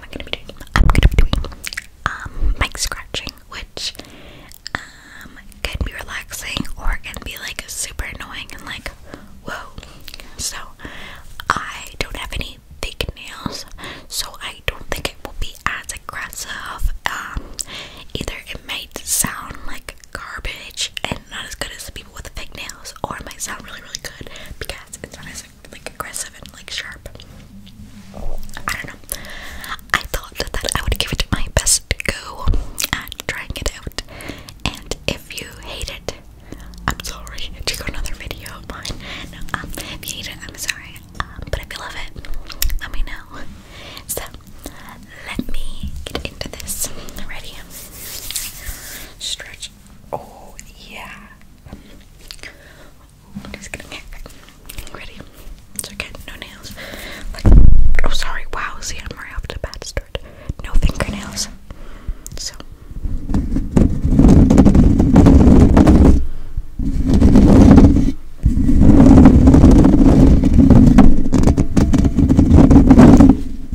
I am gonna be doing um, mic scratching, which um, can be relaxing or can be like super annoying and like whoa. So I don't have any thick nails, so I don't think it will be as aggressive. Um either it might sound like garbage and not as good as the people with the fake nails, or it might sound really really good because it's not as like aggressive and like sharp. I don't know. I thought that I would give it my best go at trying it out. And if you hate it, I'm sorry. Do another video of mine? No, um, if you hate it, I'm sorry. Um, but if you love it, let me know. So let me get into this. Ready? Stretch Oh yeah. ready? okay, no nails. oh sorry, wow, see I'm right off to a start. No fingernails. So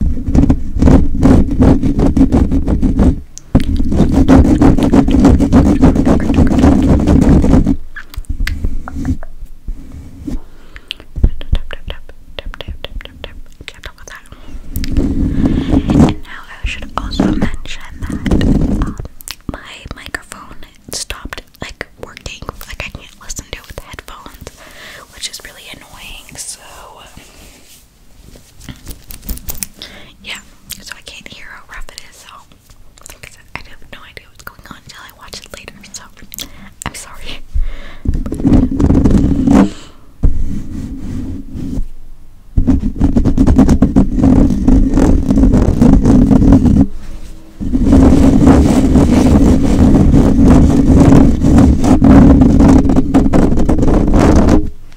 And now I should also mention that my microphone stopped like working. Like I can't listen to it with headphones, which is really annoying. So yeah, so I can't hear how rough it is, so I have no idea what's going on until I watch it later, so I'm sorry.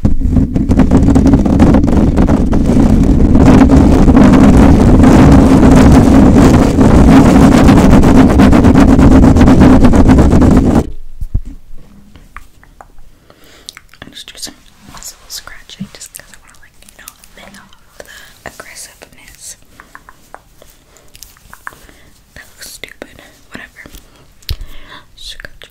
i just do some muscle scratching just I want to, like, you know, pay off the aggressiveness. That looks stupid. Whatever. Scratch, scratch,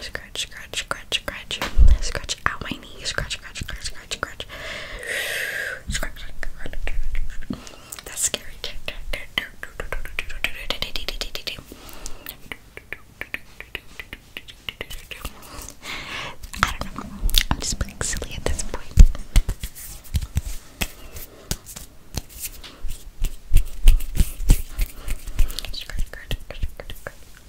Scratch, scratch, scratch, scratch. Scratch out my knee. Scratch, scratch, scratch, scratch, scratch. Scratch, scratch. That's scary. I don't know. I'm just being silly at this point. Scratch, scratch, scratch, scratch, scratch.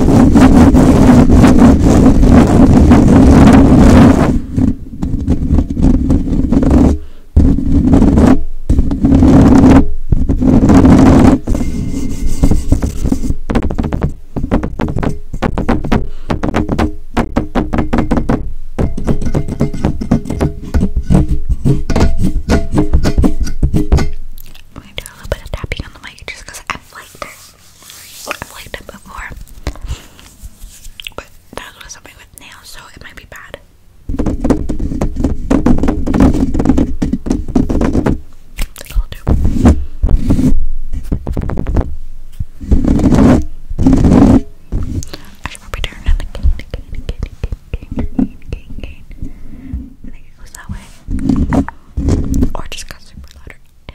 I'm gonna do a little bit of tapping on the mic just because I like this. I've liked it before. But that was something with nails, so it might be bad. I should probably turn it again, again, again, again, again, again, again. I think it goes that way. Or just got super loud.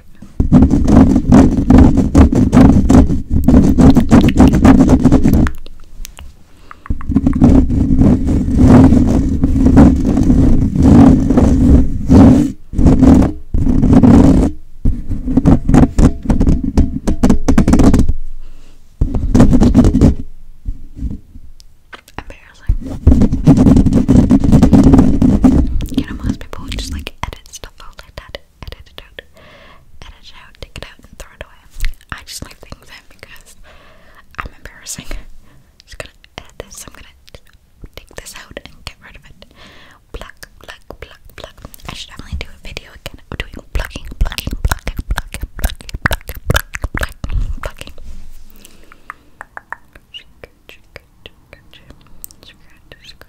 back. Embarrassing. You know, most people just like edit stuff out like that edit it out, edit it out, take it out, and throw it away. I just leave things in because I'm embarrassing. Just gonna edit this. I'm gonna take this out and get rid of it. Pluck, pluck, pluck, pluck. I should definitely do a video again of doing plucking, plucking, plucking, plucking, plucking, plucking, plucking, plucking, plucking. Scratch, scratch, scratch,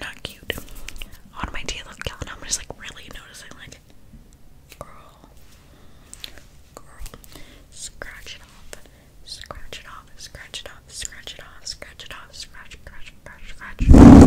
not cute. On my teeth look Calvin, I'm just like really noticing like girl girl scratch it off scratch it off scratch it off scratch it off scratch it off scratch scratch scratch scratch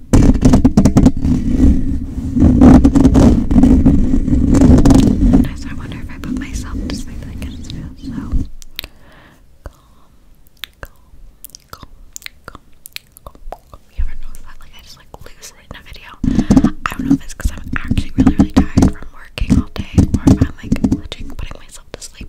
Nice. I wonder if I put myself to sleep, I can so calm, calm, calm, calm, calm, You ever notice that? Like I just like lose it in a video. I don't know if it's because I'm actually really, really tired from working all day, or I'm like putting myself to sleep.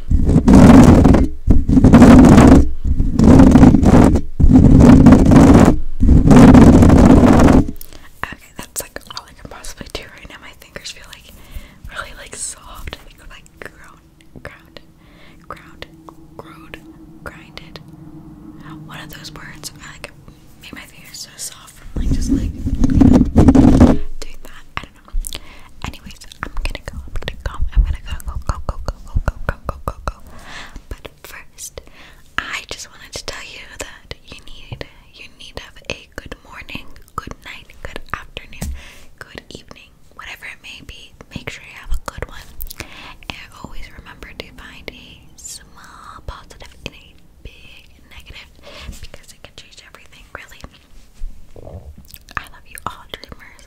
Okay, that's like all I can possibly do right now. My fingers feel like really like soft. I think like ground, ground, ground, growed, grinded. One of those words I like made my fingers so soft from like just like you know, doing that. I don't know. Anyways, I'm gonna go, I'm gonna go, I'm gonna go, go, go, go, go, go, go, go, go, go, go. But first, I just wanted to tell you that you need, you need to have a good morning, good night, good afternoon, good evening, whatever it may be. Make sure you have a good one. And always remember to find a small positive in a big negative because it can change everything, really. I love you all, dreamers